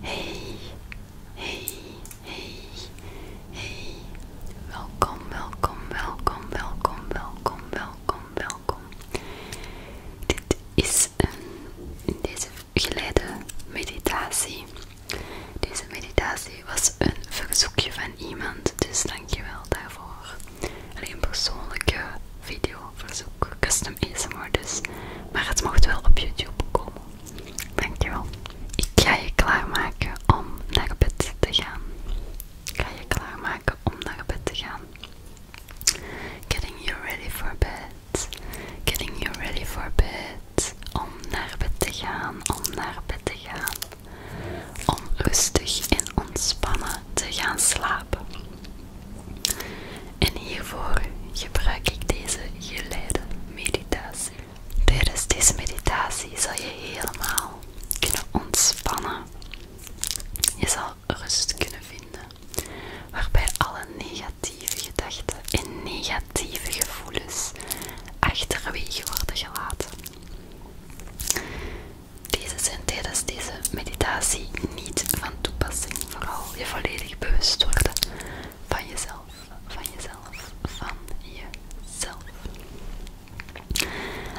Hey, hey, hey, hey. Welkom, welkom, welkom, welkom, welkom, welkom, welkom. Dit is een, in deze geleide meditatie. Deze meditatie was een verzoekje van iemand, dus dankjewel daarvoor. Alleen persoonlijke videoverzoek, custom dus. Maar het mocht wel op YouTube komen. Dankjewel. Ik ga je klaarmaken om naar bed te gaan. Ik ga je klaarmaken om naar bed te gaan. Getting you ready for bed. Getting you ready for bed. Om naar bed te gaan, om naar bed te gaan. Om rustig en ontspannen te gaan slapen. En hiervoor gebruik ik deze geleide meditatie. Tijdens deze meditatie zal je helemaal kunnen ontspannen. Je zal rust kunnen vinden, waarbij alle negatieve gedachten en negatieve gevoelens achterwege worden gelaten. Deze zijn tijdens deze meditatie niet van toepassing. Vooral je volledig bewust worden van jezelf, van jezelf, van jezelf.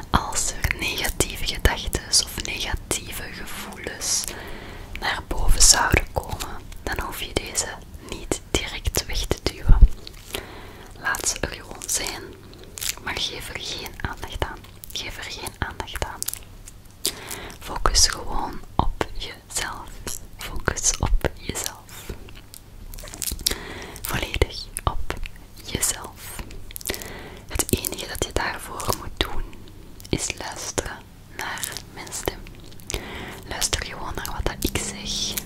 Als er negatieve gedachten of negatieve gevoelens naar boven zouden komen, dan hoef je deze niet direct weg te duwen. Laat ze er gewoon zijn, maar geef er geen aandacht aan. Geef er geen aandacht aan. Focus gewoon op jezelf. Focus op jezelf. Volledig op jezelf. Het enige dat je daarvoor moet doen is luisteren naar mijn stem. Luister gewoon naar wat ik zeg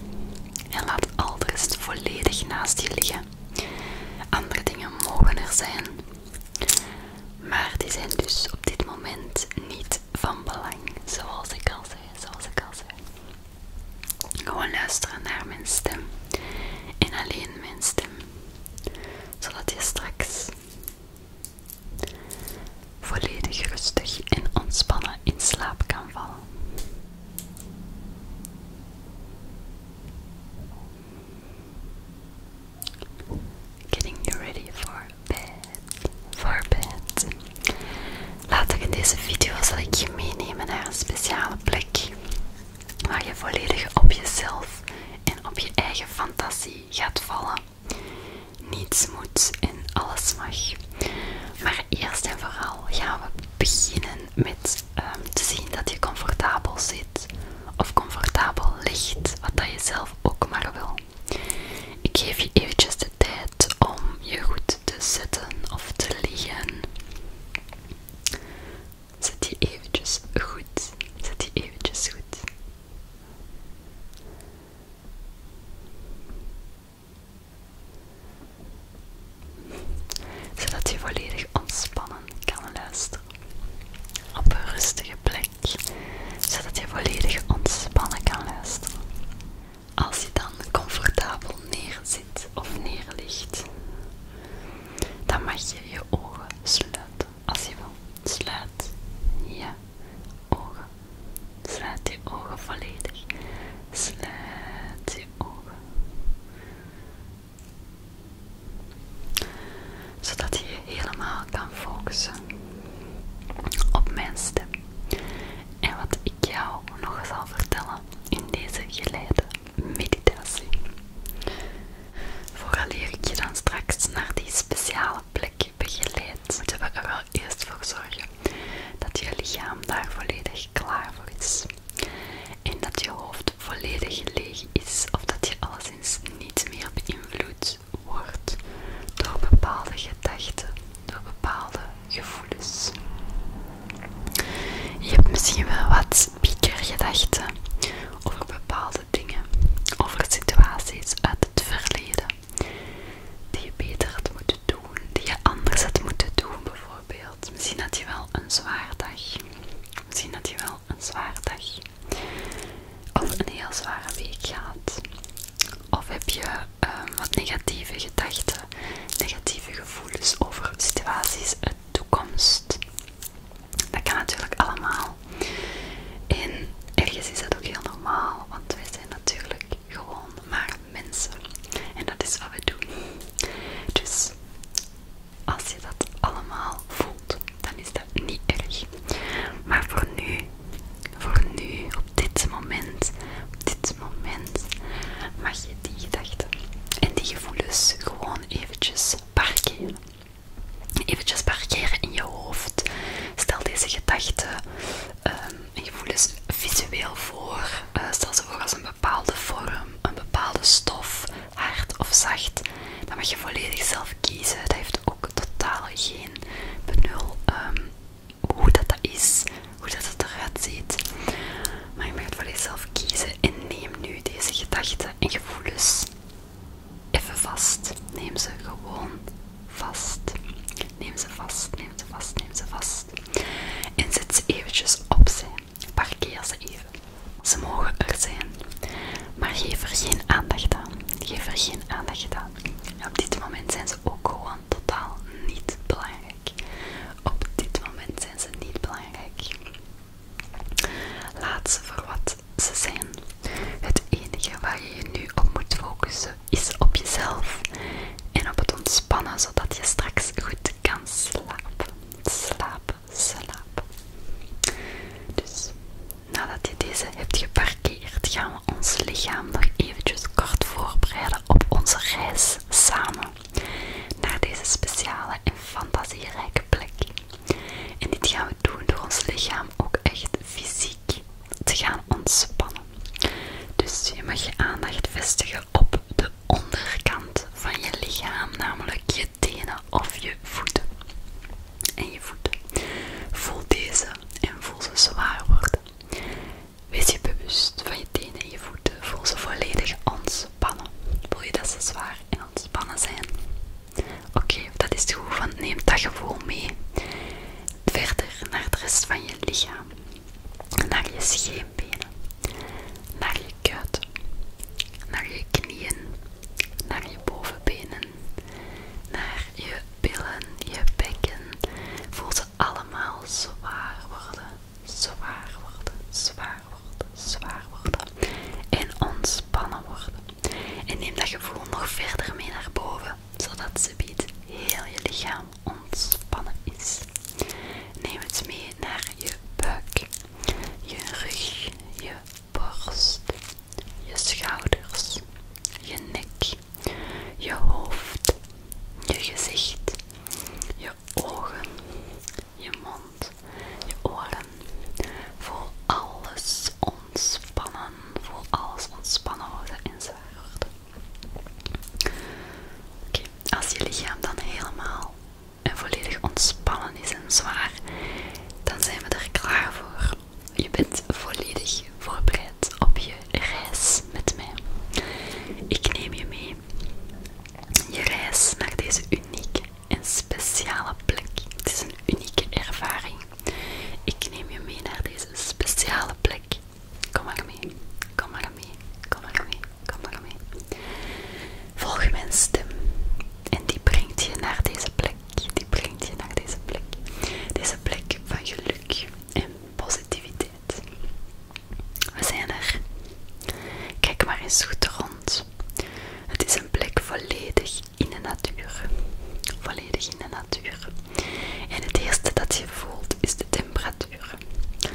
en laat al de rest volledig naast je liggen. Andere dingen mogen er zijn, maar die zijn dus op dit moment niet van belang, zoals ik al zei. Zoals ik al zei. Gewoon luisteren naar mijn stem en alleen mijn stem, zodat je straks volledig rustig en ontspannen in slaap kan vallen. Getting you ready for bed. For bed. Laat ik in deze video zal ik je meenemen naar een speciale plek waar je volledig op jezelf en op je eigen fantasie gaat vallen. Niets moet en alles mag. Maar eerst en vooral gaan we beginnen met ehm, te zien dat je comfortabel zit of comfortabel ligt, wat dat je zelf ook maar wil. Ik geef je eventjes de tijd om je goed te zetten of te liggen. Zet je eventjes goed. zet je eventjes goed. Zodat je volledig ontspannen kan luisteren. Op een rustige plek, zodat je volledig ontspannen kan luisteren. Als je dan comfortabel neerzit of neerligt, dan mag je je ogen sluiten. Als je wil, sluit je ogen. Sluit je ogen volledig. Sluit je ogen zodat je helemaal kan focussen op mijn stem. En wat ik jou nog zal vertellen in deze geleide meditatie. Vooraleer ik je dan straks naar die speciale plek begeleid, moeten we er wel eerst voor zorgen dat je lichaam daar volledig klaar voor is. En dat je hoofd volledig leeg is of dat je alleszins niet meer beïnvloed wordt door bepaalde gedachten, door bepaalde gevoelens. Je hebt misschien wel wat pieker over bepaalde dingen, over situaties uit het verleden die je beter had moeten doen, die je anders had moeten doen bijvoorbeeld. Misschien had je wel een zwaar dag, misschien had je wel een zware dag of een heel zware week gaat. Of heb je ehm, wat negatieve gedachten, negatieve gevoelens over situaties uit toekomst. Dat kan natuurlijk allemaal. En ergens is dat ook heel normaal, want wij zijn natuurlijk gewoon maar mensen. En dat is wat we doen. Dus als je dat allemaal voelt, dan is dat niet erg. Maar voor nu, voor nu, op dit moment, op dit moment, mag je die gedachten en die gevoelens gewoon eventjes parkeren. Eventjes parkeren in je hoofd. Stel deze gedachten ehm, en gevoelens visueel voor. Eh, stel ze voor als een bepaalde vorm, een bepaalde stof, hard of zacht. dan mag je volledig zelf kiezen. Dat heeft ook totaal geen benul ehm, hoe dat, dat is, hoe dat het eruit ziet. Maar je mag het volledig zelf kiezen en neem nu deze gedachten en gevoelens even vast. Neem ze gewoon vast. Neem ze vast, neem ze vast, neem ze vast. En zet ze eventjes opzij. Parkeer ze even. Ze mogen er zijn. Maar geef er geen aandacht aan. Geef er geen aandacht aan. op dit moment zijn ze ook gewoon totaal niet belangrijk. Op dit moment zijn ze niet belangrijk. Laat ze voor wat ze zijn. Het enige waar je je nu op moet focussen is op jezelf en op het ontspannen zodat je straks goed kan slapen. Slapen, slaap. Dus nadat je deze hebt geparkeerd, gaan we ons lichaam nog eventjes kort voorbereiden op onze reis samen naar deze speciale en fantasierijke plek. En dit gaan we doen door ons lichaam ook echt fysiek te gaan ontspannen. Dus je mag je aandacht vestigen op de onderkant van je lichaam, namelijk je je tenen of je voeten. En je voeten. Voel deze en voel ze zwaar worden. Wees je bewust van je tenen en je voeten. Voel ze volledig ontspannen. Voel je dat ze zwaar en ontspannen zijn? Oké, dat is goed, neem dat gevoel mee verder naar de rest van je lichaam. Naar je schedel benen, naar je kut. naar je knieën, naar je bovenbenen, naar je billen, je bekken. Voel ze allemaal zwaar worden, zwaar worden, zwaar worden, zwaar worden. En ontspannen worden. En neem dat gevoel nog verder mee naar boven, zodat ze biedt heel je lichaam ontspannen is. Neem het mee naar je buik, je rug, je borst, je schouders, je nek, je hoofd, je gezicht, je ogen, je mond, je oren. Voel alles ontspannen, voel alles ontspannen hoe en zwaar worden. Oké, als je lichaam dan helemaal en volledig ontspannen is en zwaar, dan zijn we er klaar voor. Je bent volledig voorbereid op je reis met mij. Ik neem je mee. Je reis naar deze unieke en speciale plek. Het is een unieke ervaring. Ik neem je mee naar deze speciale plek. Kom maar mee, kom maar mee, kom maar mee. Kom maar mee. Volg mijn stem. En die brengt je naar deze plek. Die brengt je naar deze plek. Deze plek van geluk en positiviteit. We zijn er. Kijk maar eens goed rond. Het is een plek volledig in de natuur. Volledig in de natuur. En het eerste dat je voelt is de temperatuur het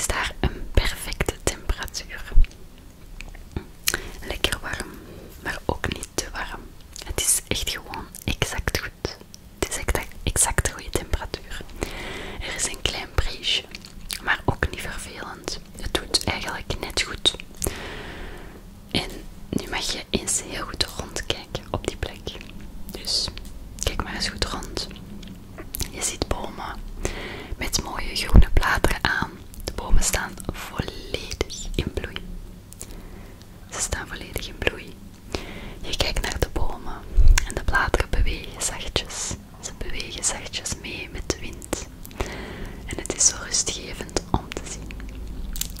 is daar een perfecte temperatuur. Lekker warm, maar ook niet te warm. Het is echt gewoon exact goed. Het is exact, de goede temperatuur. Er is een klein briesje, maar ook niet vervelend. Het doet eigenlijk net goed. En nu mag je eens heel goed rondkijken op die plek. Dus kijk maar eens goed rond. Je ziet bomen met mooie groene bladeren aan. De bomen staan volledig in bloei. Ze staan volledig in bloei. Je kijkt naar de bomen en de bladeren bewegen zachtjes. Ze bewegen zachtjes mee met de wind. En het is zo rustgevend om te zien.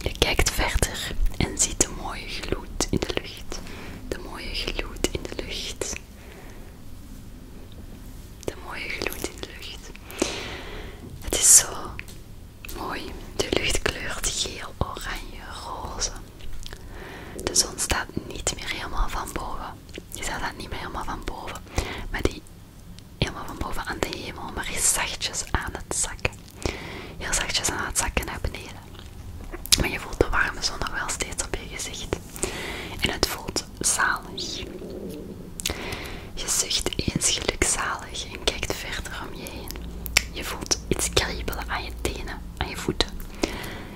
Je kijkt verder en ziet de mooie gloed in de lucht. De mooie gloed in de lucht. De mooie gloed in de lucht. Het is zo mooi. De lucht kleurt geel, oranje, roze. De zon staat niet meer helemaal van boven. Die staat niet meer helemaal van boven. Maar die helemaal van boven aan de hemel, maar is zachtjes aan het zakken. Heel zachtjes aan het zakken naar beneden. Maar je voelt de warme zon nog wel steeds op je gezicht. En het voelt zalig. Je zucht eens gelukzalig en kijkt verder om je heen. Je voelt iets kriebelen aan je tenen, aan je voeten.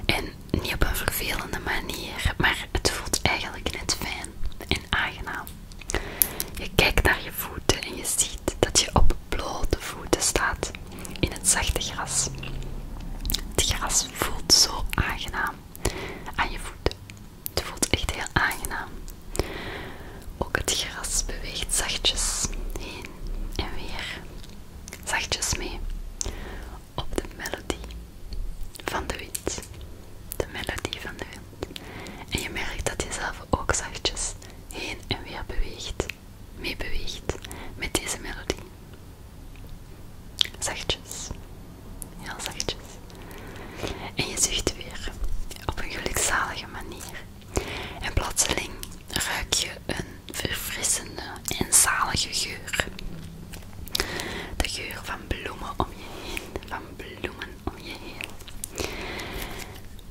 En niet op een vervelende manier, maar het voelt eigenlijk net fijn en aangenaam. Je kijkt naar je voeten en je ziet dat je op blote voeten staat in het zachte gras. Het gras voelt, voelt zo aangenaam aan je voeten. Het voelt echt heel aangenaam. Ook het gras beweegt zachtjes heen en weer. Zachtjes mee op de melodie van de wind. De melodie van de wind. En je merkt dat je zelf ook zachtjes heen en weer beweegt, Mee beweegt met deze melodie. Zachtjes. Heel zachtjes. En je zucht weer. Op een gelukzalige manier. En plotseling ruik je een verfrissende en zalige geur. De geur van bloemen om je heen. Van bloemen om je heen.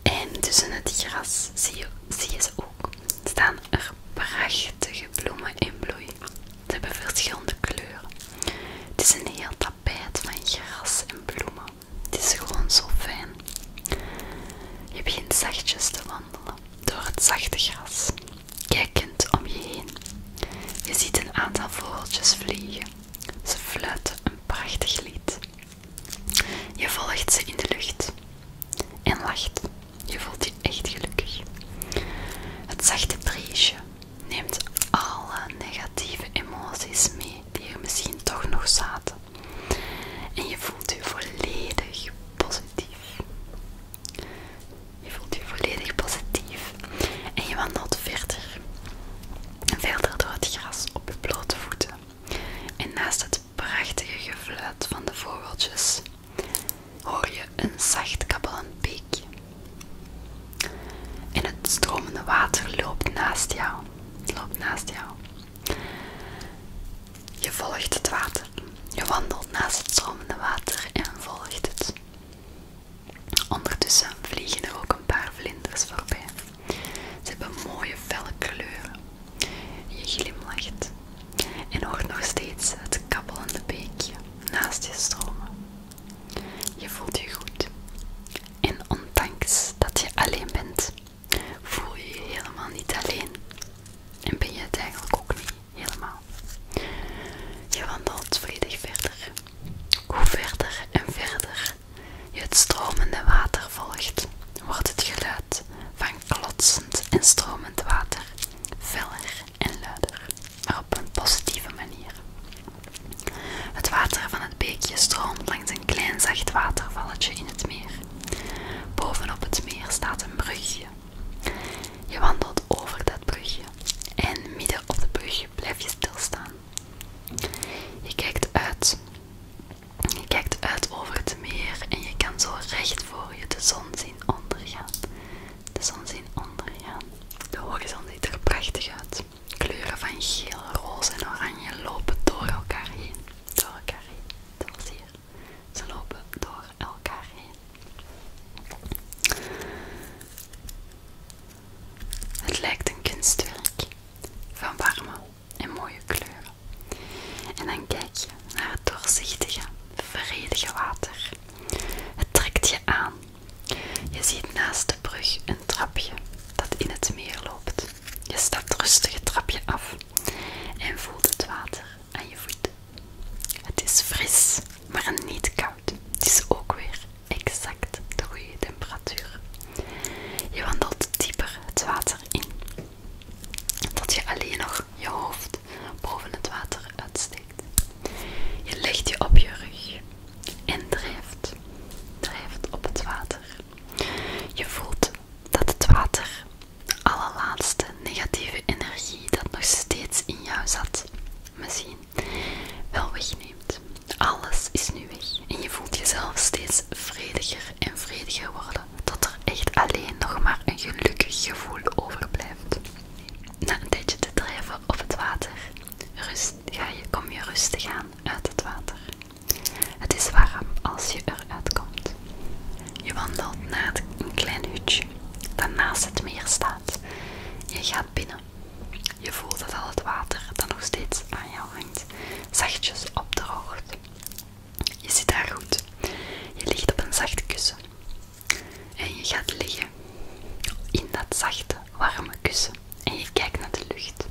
En tussen het gras zie je, zie je staan er prachtige bloemen in bloei. Ze hebben verschillende kleuren. Het is een heel tapijt van gras en bloemen. Het is gewoon zo fijn. Je begint zachtjes te wandelen door het zachte gras, kijkend om je heen. Je ziet een aantal vogeltjes vliegen. Ze fluiten een prachtig lied. Je volgt ze in de lucht en lacht. Je voelt je echt gelukkig. Het zachte briesje neemt alle negatieve emoties mee die er misschien toch nog zaten. En je voelt je volledig positief. Je voelt je volledig positief en je wandelt verder. En verder door het gras op je blote voeten. En naast het prachtige gefluit van de vogeltjes hoor je een zacht kabbelend piekje. En het stromende water loopt naast jou. Loopt naast jou. Je volgt het water. Je wandelt naast het stromende water en volgt het. Ondertussen vliegen er ook een paar vlinders voorbij. Ze hebben mooie felle kleuren. Je glimlacht en hoort nog steeds het kabbelende beekje naast je stromen. Je voelt je goed. En ondanks dat je alleen bent, voel je je helemaal niet alleen. En ben je het eigenlijk ook niet helemaal. Je wandelt volledig verder. Hoe verder en verder je het stromende water volgt, wordt het geluid van van klotsend en stromend water, feller en luider, maar op een positieve manier. Het water van het beekje stroomt langs een klein zacht watervalletje in het meer. Bovenop het meer staat een brugje. Je wandelt over dat brugje en midden op de brugje blijf je stilstaan. Je kijkt uit. Je kijkt uit over het meer en je kan zo recht voor je de zon zien ondergaan. De zon zien ondergaan. De horizon ziet er prachtig uit. Kleuren van geel, roze en oranje lopen door elkaar heen. Door elkaar heen. Zoals hier. Ze lopen door elkaar heen. Het lijkt een kunstwerk van warme en mooie kleuren. En dan kijk je naar het doorzichtige, vredige water. Het trekt je aan. Je ziet naast de brug een trapje dat in het meer loopt. Je stapt rustig het trapje af en voelt het water aan je voet. Het is fris, maar niet koud. Het is ook weer exact de goede temperatuur. Je wandelt dieper het water in dat je alleen nog je hoofd boven het water uitsteekt. Je legt je op je rug en drijft, drijft op het water. Je voelt dat het water de allerlaatste negatieve energie dat nog steeds in jou zat, misschien wel wegneemt. Alles is nu weg en je voelt jezelf steeds vrediger en vrediger worden dat er echt alleen nog maar een gelukkig gevoel overblijft. Na een tijdje te drijven op het water, rust, ga je, kom je rustig aan uit het water. Het is warm als je eruit komt. Je wandelt naar een klein hutje dat naast het meer staat. Je gaat binnen. Je voelt dat al het water dan nog steeds aan jou hangt zachtjes opdroogt. Je zit daar goed. Je ligt op een zacht kussen. En je gaat liggen in dat zachte, warme kussen. En je kijkt naar de lucht,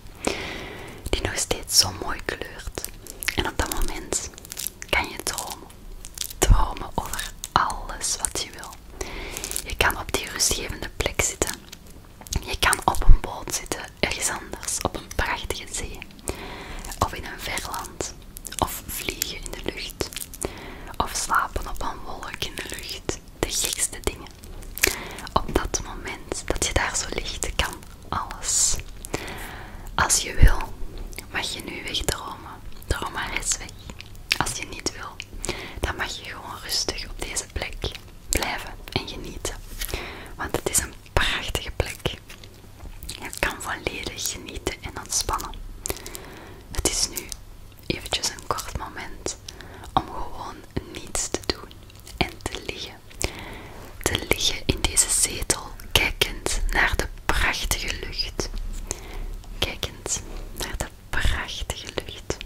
die nog steeds zo mooi kleurt. En op dat moment kan je dromen. Dromen over alles wat je wil. Je kan op die rustgevende plek zitten. Je kan op een boot zitten, ergens anders, op een prachtige zee. Of in een verland, Of vliegen in de lucht. Of slapen op een wolk in de lucht. De gekste dingen. Op dat moment dat je daar zo ligt, kan alles. Als je wil, mag je nu wegdromen. Droom maar eens weg. Als je niet wil, dan mag je gewoon rustig op deze plek blijven en genieten. Want het is een prachtige plek. Je kan volledig genieten en ontspannen. Het is nu eventjes een kort moment om gewoon niets te doen en te liggen. Te liggen in deze zetel, kijkend naar de prachtige lucht. Kijkend naar de prachtige lucht.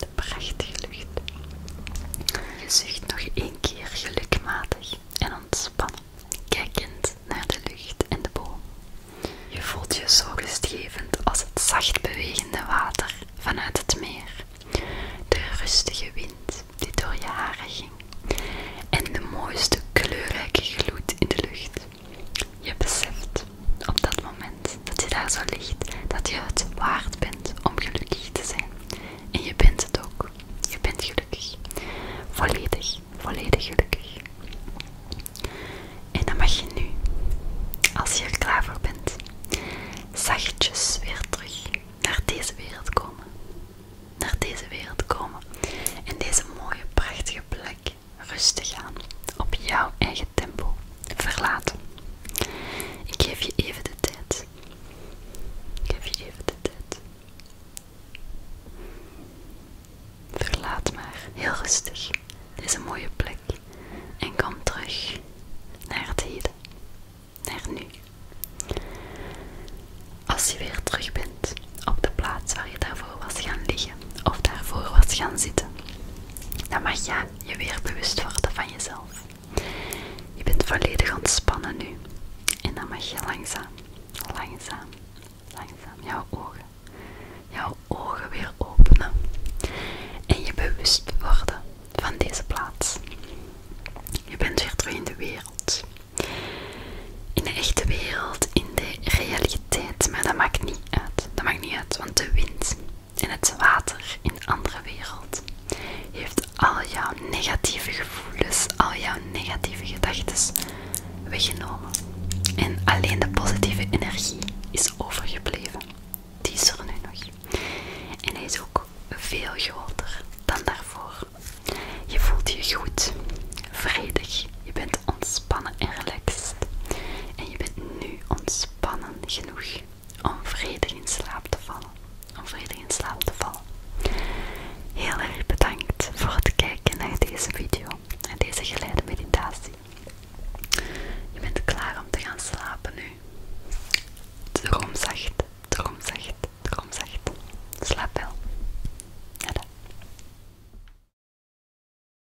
De prachtige lucht. Je zucht nog één keer gelukmatig en ontspannen, kijkend naar de lucht en de boom. Je voelt je zo rustgevend als het zacht bewegende water vanuit het meer, de rustige wind die door je haren ging en de mooiste kleurrijke gloed in de lucht je beseft op dat moment dat je daar zo ligt, dat je het waard bent om gelukkig te zijn. En je bent het ook. Je bent gelukkig. Volledig, volledig gelukkig. En dan mag je nu, als je er klaar voor bent, zachtjes weer terug naar deze wereld komen. Naar deze wereld komen. in deze mooie, prachtige plek rustig aan, op jouw eigen tempo, verlaten. Ik geef je even de tijd. Ik geef je even de tijd. Verlaat maar, heel rustig, Dit is een mooie plek. En kom terug naar het heden, naar nu. Als je weer terug bent op de plaats waar je daarvoor was gaan liggen of daarvoor was gaan zitten, dan mag je je weer bewust worden van jezelf. Je bent volledig ontspannen nu. En dan mag je langzaam, langzaam, langzaam jouw ogen, jouw ogen weer openen. En je bewust worden van deze plaats. Je bent weer terug in de wereld. In de echte wereld, in de realiteit Tijd, maar dat maakt niet uit. Dat maakt niet uit, want de wind en het water in andere wereld heeft al jouw negatieve gevoelens, al jouw negatieve gedachten weggenomen. En alleen de positieve energie is overgebleven. Die is er nu nog. En hij is ook veel groter dan daarvoor. Je voelt je goed, vredig, je bent ontspannen en relaxed. En je bent nu ontspannen genoeg om vredig in slaap te vallen. Om vredig in slaap te vallen. Heel erg bedankt voor het kijken naar deze video en deze geleide meditatie. Je bent klaar om te gaan slapen nu. Droomzacht, droomzacht, droomzacht. Slaap wel. dan.